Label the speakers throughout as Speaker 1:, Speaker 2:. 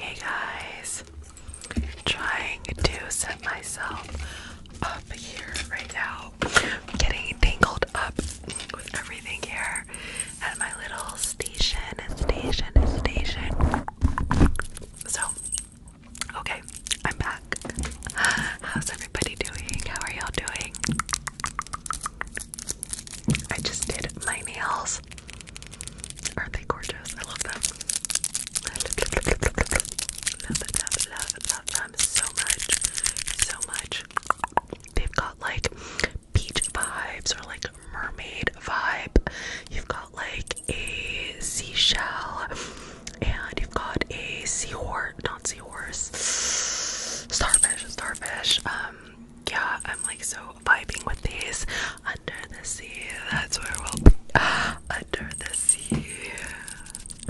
Speaker 1: Hey guys, trying to set myself up here right now. I'm getting tangled up with everything here at my little station station station. So, okay, I'm back. How's everybody doing? How are y'all doing? I just did my nails. Aren't they gorgeous? I love them. so much. So much. They've got like beach vibes or like mermaid vibe. You've got like a seashell and you've got a seahorse, not seahorse yours. Starfish, starfish. Um, yeah, I'm like so vibing with these. Under the sea, that's where we'll uh, under the sea.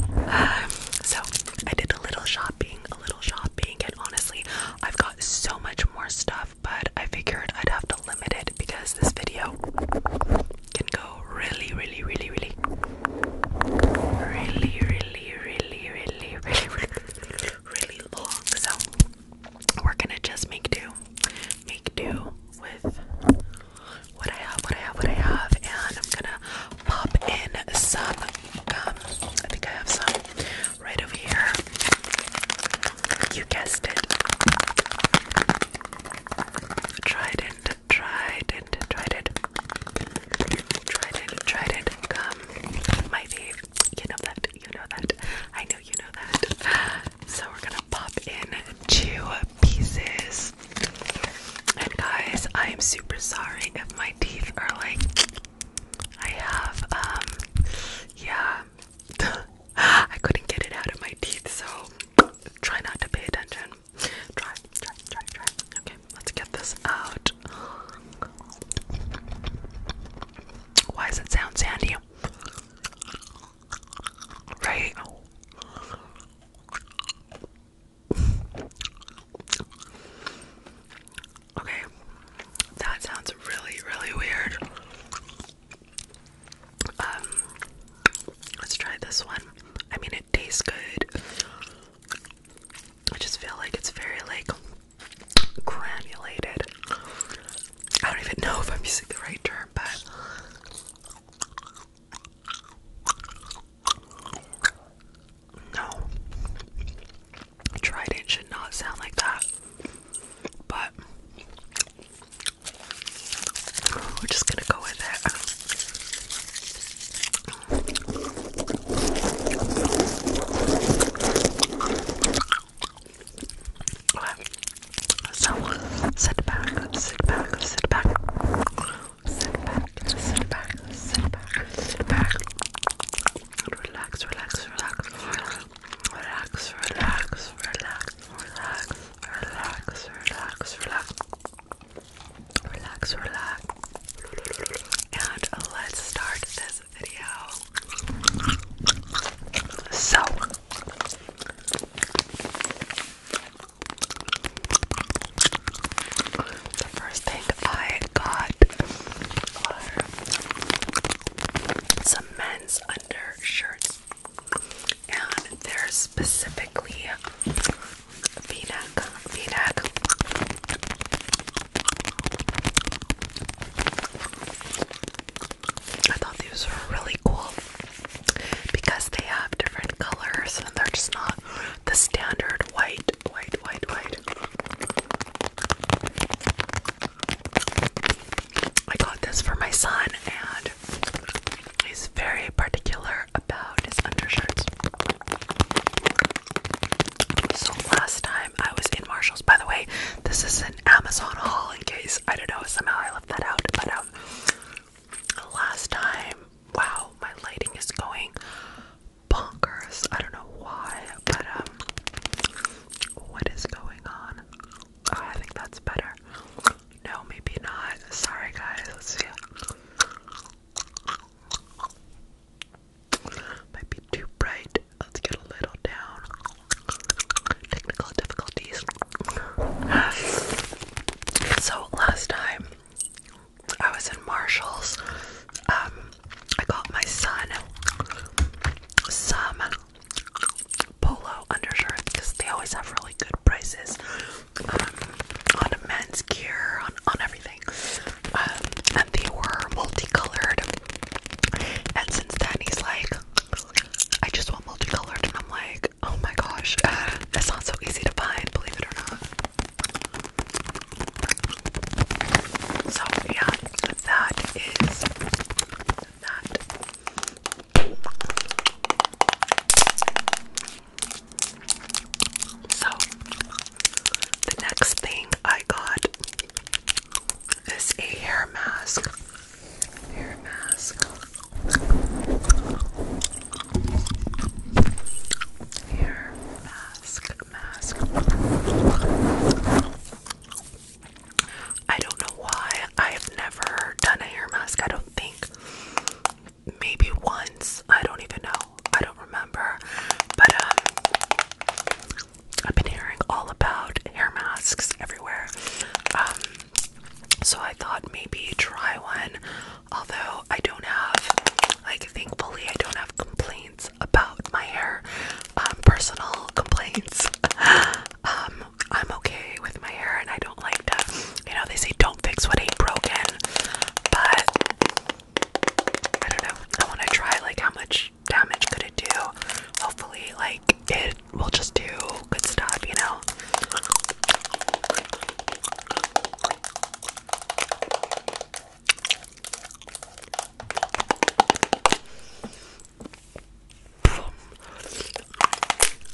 Speaker 1: Um, so I did a little shopping, a little shopping, and honestly, I've got so much more stuff, but I figured I'd have to limit it because this video can go really, really, really, really, really, really, really, really, really, really, really, really long. So we're gonna just make do, make do with what I have, what I have, what I have, and I'm gonna pop in some I think I have some right over here. You guessed it. Trident, trident, trident, trident, trident, gum my fave. You know that. You know that. I know you know that. So we're gonna pop in two pieces. And guys, I am super sorry if my teeth are like I have um yeah I couldn't get it out of my teeth so try not to pay attention. Try, try, try, try let's get this out. Why does it sound sandy? Right? Okay, that sounds really, really weird. Um, let's try this one. I mean, it tastes good. I just feel like it's very like granulated. I don't even know if I'm using the right term, but no. Trident should not sound like that. But we're just gonna go with it. So sit back, sit back, sit back, sit back, sit back, sit back, sit back. Relax, relax, relax, relax, relax, relax, relax, relax, relax, relax, relax relax, relax, and let's start this video. So, the first thing I got are some men's undershirts, and they're specifically v-neck, v-neck. I thought these were really cool because they have different colors and they're just not the standard white, white, white, white. I got this for my son and he's very particular about his undershirts. So last time I was in Marshalls. By the way, this is an Amazon haul in case I don't know somehow I left that out. But um, last time, wow, my lighting is going bonkers. I don't know why, but um, what is going on? Oh, I think that's better. No, maybe not. Sorry, guys. Let's see. Might be too bright. Let's get a little down. Technical difficulties. So last time I was in Marshalls, um, I got my son some polo undershirts because they always have really good prices um, on men's gear, on on everything. Um, and they were multicolored. And since then, he's like, I just want multicolored. And I'm like, oh my gosh, uh, that's not so easy to find, believe it or not. So, yeah, that is that. So, the next thing I got is a hair mask. Hair mask. Hair mask. Mask. I don't know why I have never done a hair mask. I don't think. Maybe once. I don't even know. I don't remember, but um, I've been hearing all about hair masks everywhere. Um, so I thought maybe try one. Although I don't have, like, thankfully, I don't have complaints about my hair, um, personal complaints. I'm okay with my hair, and I don't like to, you know, they say don't fix what ain't broken, but I don't know. I want to try like how much damage could it do. Hopefully, like it will just do good stuff, you know.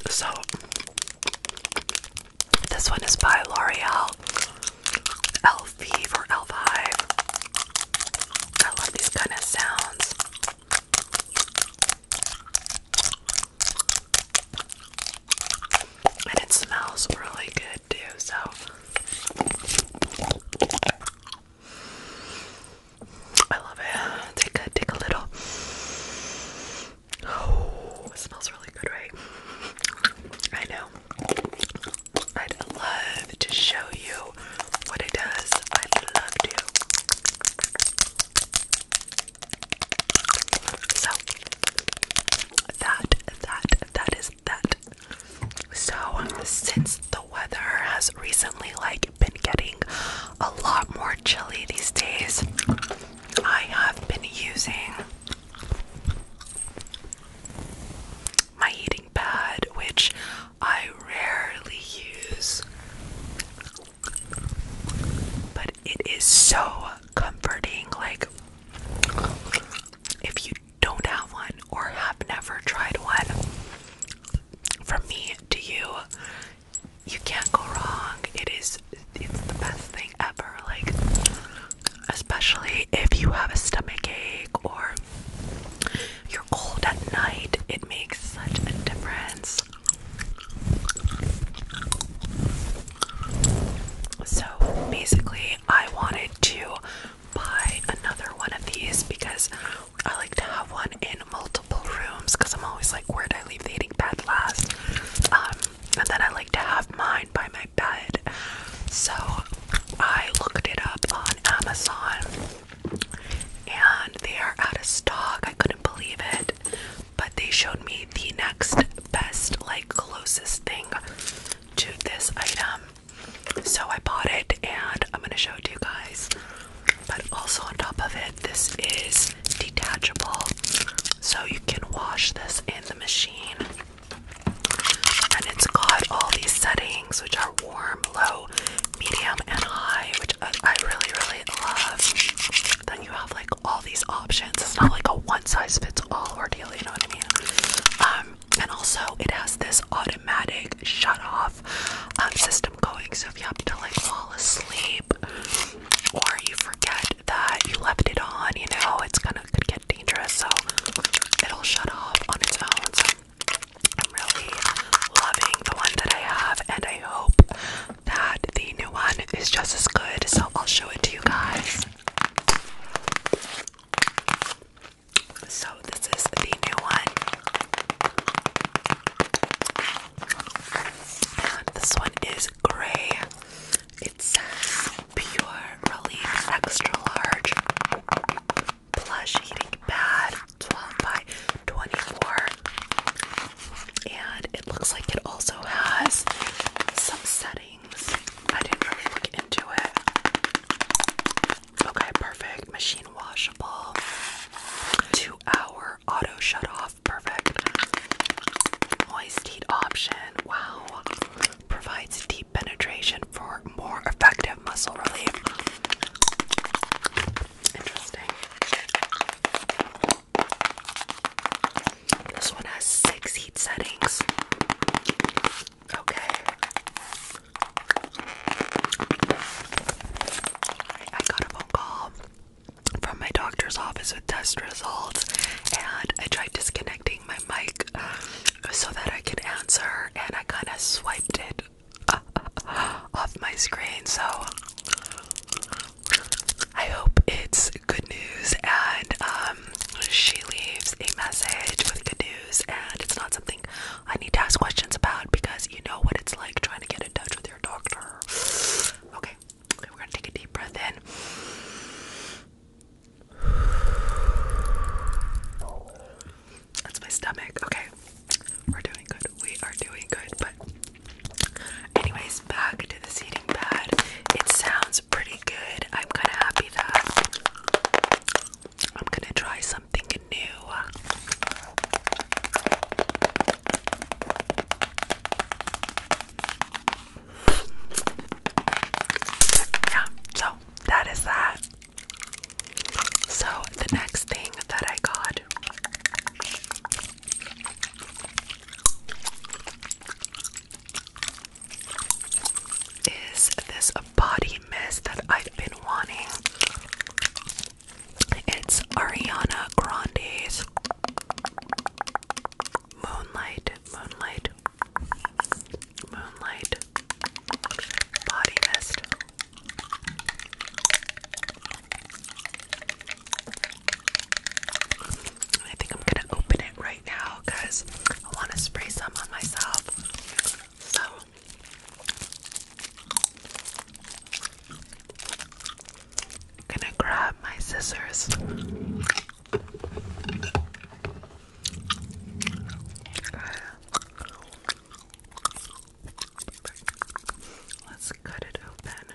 Speaker 1: So, this one is by L'Oreal. L5 or I love these kind of sounds. And it smells really good too, so I love it. Take a take a little. Oh, it smells really good, right? I know. I'd love to show you what it does. I'd love to. So that that that is that. So since the weather has recently like been getting a lot more chilly these days, I have been using my heating pad, which I rarely use, but it is so comforting. Like, if you don't have one or have never tried one, from me to you, you can't go wrong. It is, it's the best thing ever. Like, especially if you have a stomach ache or you're cold at night, it makes such a difference. So basically, I wanted to buy another one of these because I like to have one in multiple rooms because I'm always like, where did I leave the eating pad last? Um, and then I like to have mine by my bed. So I looked it up on Amazon and they are out of stock. I couldn't believe it. But they showed me the next best, like closest thing to this item. So I bought it and I'm gonna show it to you guys. But also on top of it, this is detachable. So you can wash this in the machine. And it's got all these settings, which are warm, low, medium, and high, which I really, really love. Then you have like all these options. It's not like a one size fits all ordeal, you know what I mean? Um, and also, it has this automatic shut off um, system going. So if you happen to like fall asleep or you forget that you left it on, you know, it's gonna could get dangerous, so it'll shut off on its own. I'm really loving the one that I have, and I hope that the new one is just as good. So I'll show it to you guys. So this is the new one. this one is gray. It Pure Relief Extra Large Plush Heating Pad 12 by 24. And it looks like it also has some settings. I didn't really look into it. Okay, perfect. Machine washable. Two hour auto shut off. Perfect. Moist heat option. Wow provides deep penetration for more effective muscle relief. Interesting. This one has six heat settings. Okay. I got a phone call from my doctor's office with test results, and I tried disconnecting my mic so that I can answer, and I kind of swiped it off my screen. So I hope it's good news, and um, she leaves a message with good news, and it's not something I need to ask questions about because you know what it's like trying to get in touch with your doctor. Okay, we're gonna take a deep breath in. That's my stomach. Okay. We're doing good. We are doing good. But, anyways, back to the seating pad. It sounds pretty good. I'm kind of happy that I'm going to try something new. Yeah, so that is that. So the next thing that I got is this body mist that I've been wanting. It's Ariana Grande's Moonlight, Moonlight. Moonlight Body Mist. I think I'm gonna open it right now because I want to spray some on myself. So. gonna grab my scissors. Let's cut it open.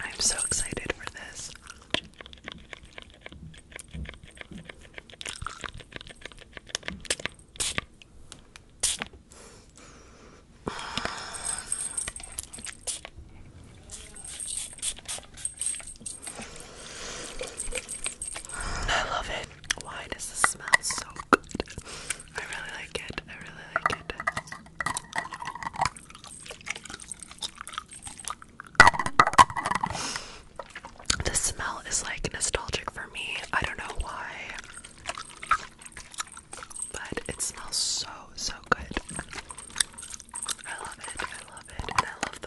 Speaker 1: I'm so excited for this. I love it. Why does this smell so good? I really like it. I really like it. The smell is like nostalgic for me. I don't know why. But it smells so, so good. I love it. I love it. I love you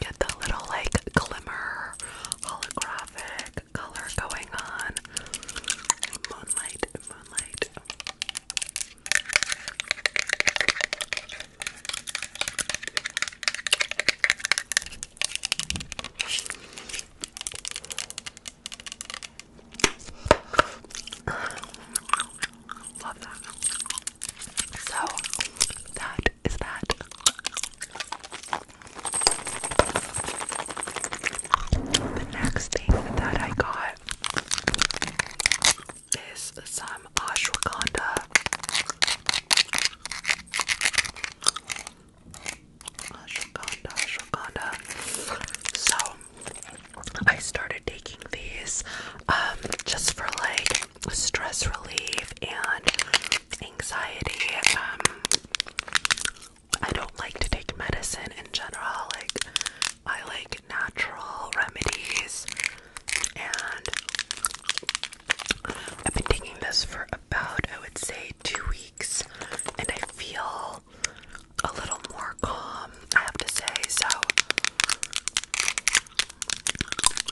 Speaker 1: get the little like glimmer holographic color going on. Moonlight, moonlight. Love that. So that is that the next thing that I got is some ashwagandha. Ashwagandha, ashwagandha. So I started taking these um, just for like stress relief and anxiety. Um, I don't like to take medicine in general. Like, I like natural remedies, and I've been taking this for about, I would say, two weeks, and I feel a little more calm, I have to say. So,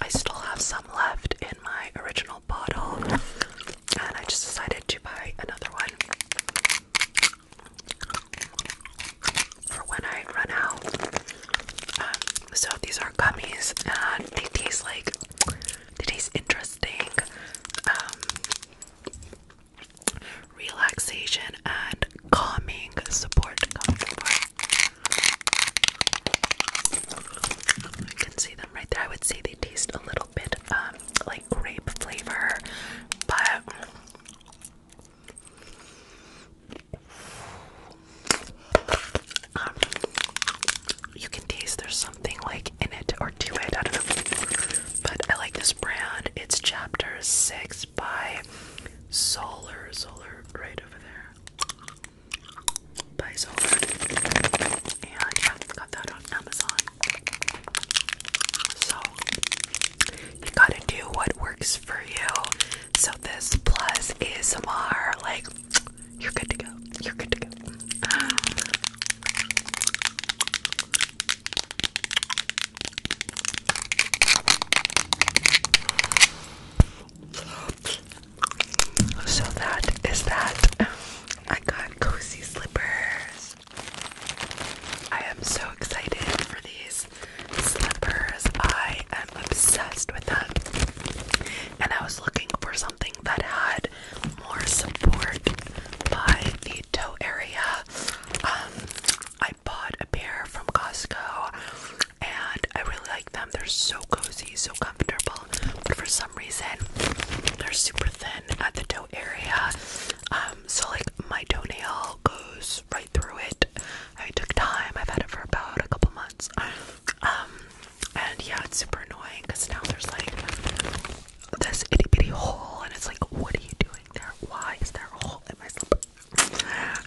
Speaker 1: I still have some left in my original bottle, and I just decided to buy another one for when I run out. Um, so these are gummies, and they taste like they taste interesting. Um, relaxation and calming support, calming support. I can see them right there. I would say they taste a little bit um, like grape flavor, but um, you can taste there's something like in it or to it. I don't know, but I like this brand. It's Chapter Six by Solar. Solar, right over there by Zollard. And yeah, got that on Amazon. So you gotta do what works for you. So this plus ASMR, like you're good to go. You're good to go. So that is that. I got cozy slippers. I am so excited for these slippers. I am obsessed with them. And I was looking for something that had more support by the toe area. Um I bought a pair from Costco and I really like them. They're so cozy, so comfortable, but for some reason they're super thin at the toe area. Um, so like my toenail goes right through it. I took time. I've had it for about a couple months. Um, and yeah, it's super annoying because now there's like this itty bitty hole, and it's like, what are you doing there? Why is there a hole in my slipper?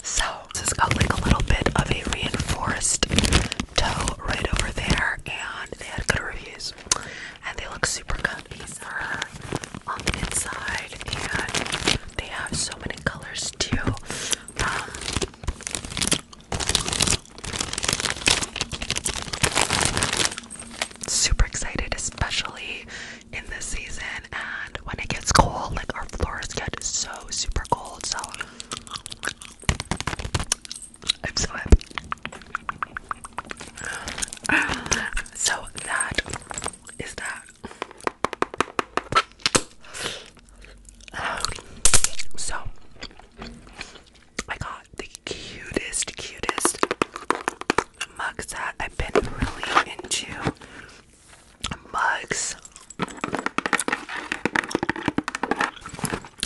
Speaker 1: So this has got like a little bit of a reinforced toe right over there, and they had good reviews, and they look super comfy. These on the inside, and they have so many colors too. Um, super excited, especially in this season, and when it gets cold, like our floors get so super cold. So I'm so happy. So that is that. Um, so I got the cutest, cutest mugs that I've been really into mugs. I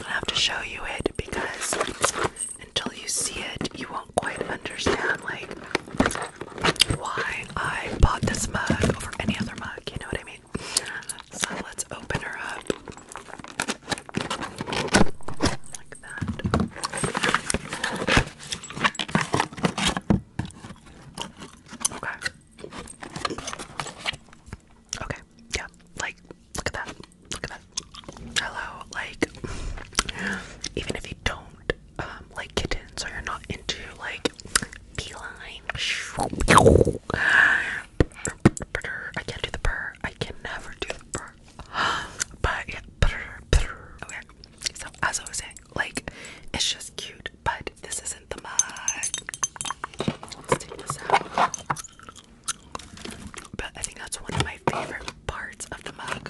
Speaker 1: have to show you it because until you see it, you won't quite understand like why I bought this mug over any other mug. You know what I mean? So let's open her up like that. Okay. Okay, yeah, like, look at that, look at that. Hello, like, even if you don't um, like kittens or you're not into like feline, I can't do the purr, I can never do the purr. But yeah, okay. So as I was saying, like, it's just cute, but this isn't the mud. But I think that's one of my favorite parts of the mug.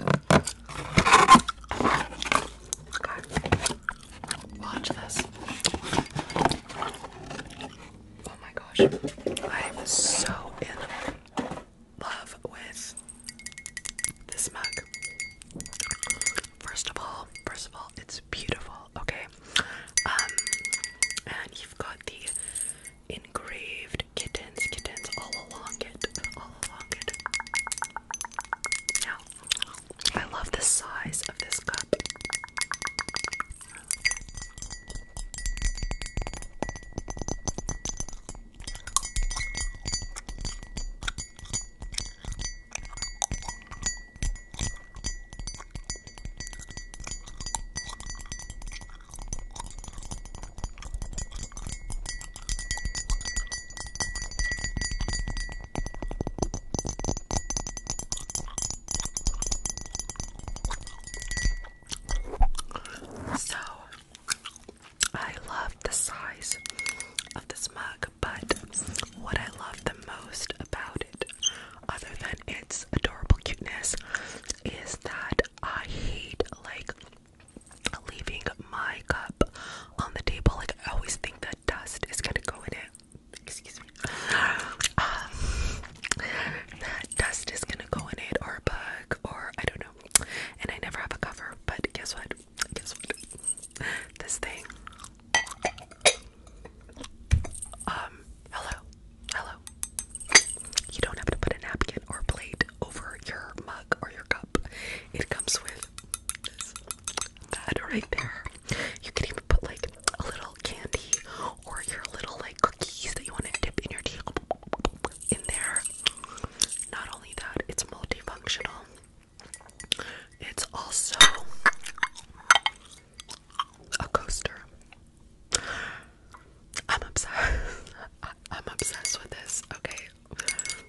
Speaker 1: Watch this. Oh my gosh. I am so in love with this mug. First of all, first of all, it's beautiful, okay? Um, and you've got the engraved kittens, kittens all along it, all along it. Now, I love the size of this cup. So I love the size of this mug but what I love the most about it, other than its adorable cuteness, is that I hate like leaving my cup on the table. Like I always think that dust is gonna go in it. Excuse me. Um, dust is gonna go in it, or a bug, or I don't know. And I never have a cover. But guess what? Guess what? This thing um, hello, hello. You don't have to put a napkin or plate over your mug or your cup. It comes with that right there. You can even put like a little candy or your little like cookies that you want to dip in your tea in there. Not only that, it's multifunctional. It's also a coaster. I'm obsessed. I'm obsessed with this. Okay,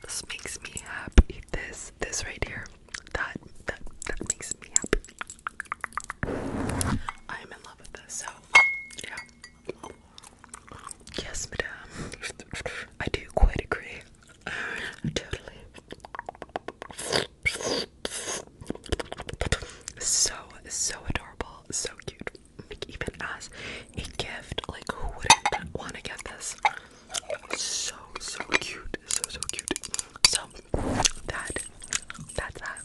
Speaker 1: this makes me happy. This, this right here, that, that, that makes me happy. I am in love with this. So, yeah. Yes, madam. I do quite agree. Totally. So, so adorable, so cute. Like, even as a gift, like, who wouldn't want to get this? So, so cute, so, so cute. So, that, that's that.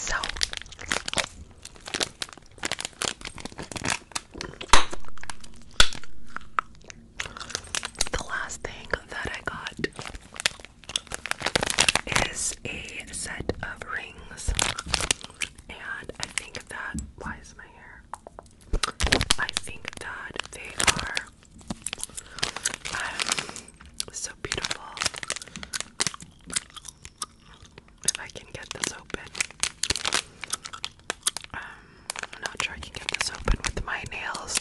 Speaker 1: So, the last thing that I got is a set of rings, and I think that why is my hair? I think that they are um, so beautiful. If I can get this open, um, I'm not sure I can get this open with my nails.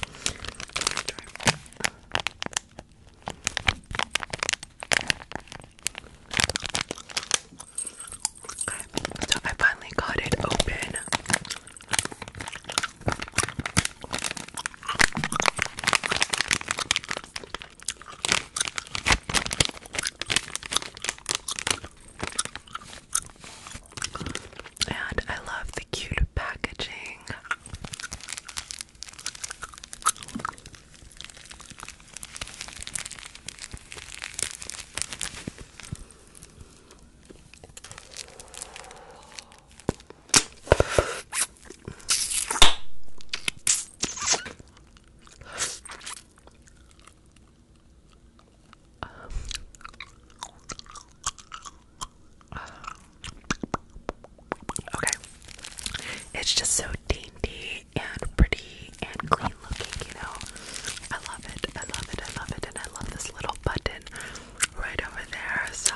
Speaker 1: so I finally got it open. And I love the cute packaging okay. It's just so dainty and pretty and clean looking, you know. I love it. I love it. I love it. And I love this little button right over there. So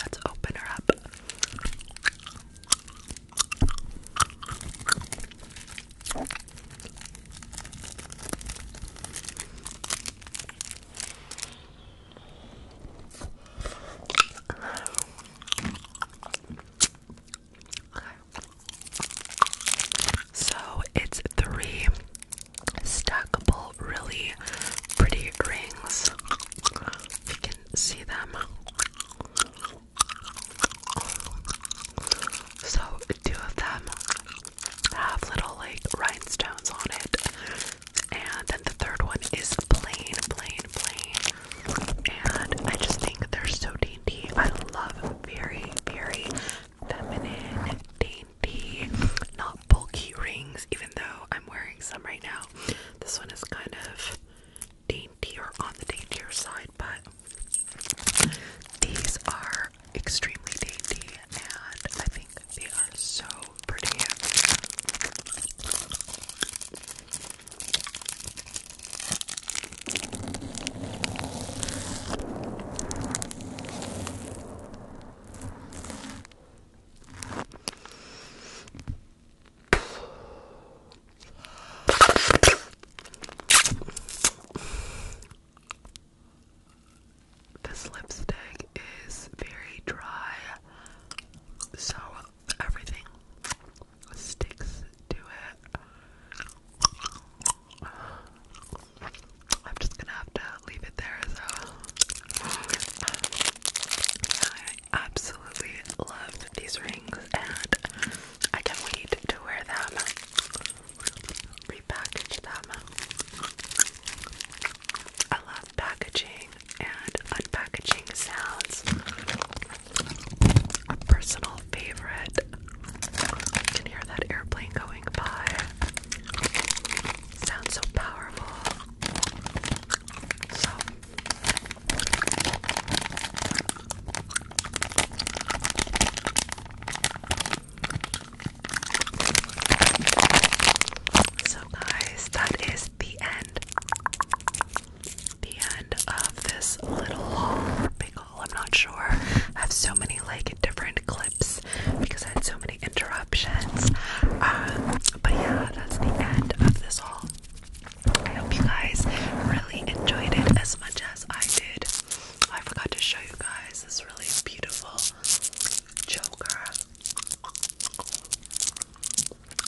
Speaker 1: let's open her up. So it's three stackable, really pretty rings. You can see them. So, two of them have little like rhinestones on it. And then the third one is plain, plain, plain. And I just think they're so dainty. I love very, very feminine, dainty, not bulky rings, even though I'm wearing some right now. This one is kind of dainty or on the dainty side, but these are extremely dainty and I think they are so pretty. This lipstick is very dry, so everything sticks to it. I'm just gonna have to leave it there. So I absolutely loved these rings, and I can't wait to wear them repackage them. I love packaging and unpackaging sounds. A personal favorite. I can hear that airplane going by. Sounds so powerful. So so, guys, that is the end. The end of this little haul, big haul. I'm not sure. I have so many like different clips because I had so many interruptions. Um, but yeah, that's the end of this haul. I hope you guys really enjoyed it as much as I did. I forgot to show you guys this really beautiful choker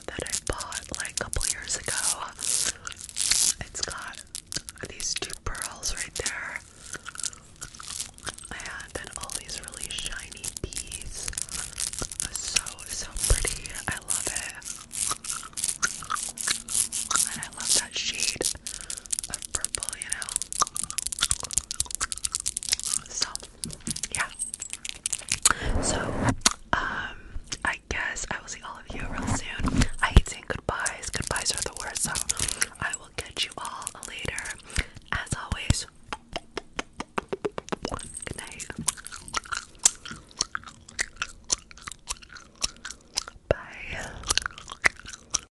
Speaker 1: that I bought like a couple years ago. It's got these two pearls right there, and then all these really shiny beads. So, so pretty. I love it. And I love that shade of purple, you know? So, yeah. So, um, I guess I will see all of you real soon. I hate saying goodbyes. Goodbyes are the worst, so I will catch you all later. As always, good Bye.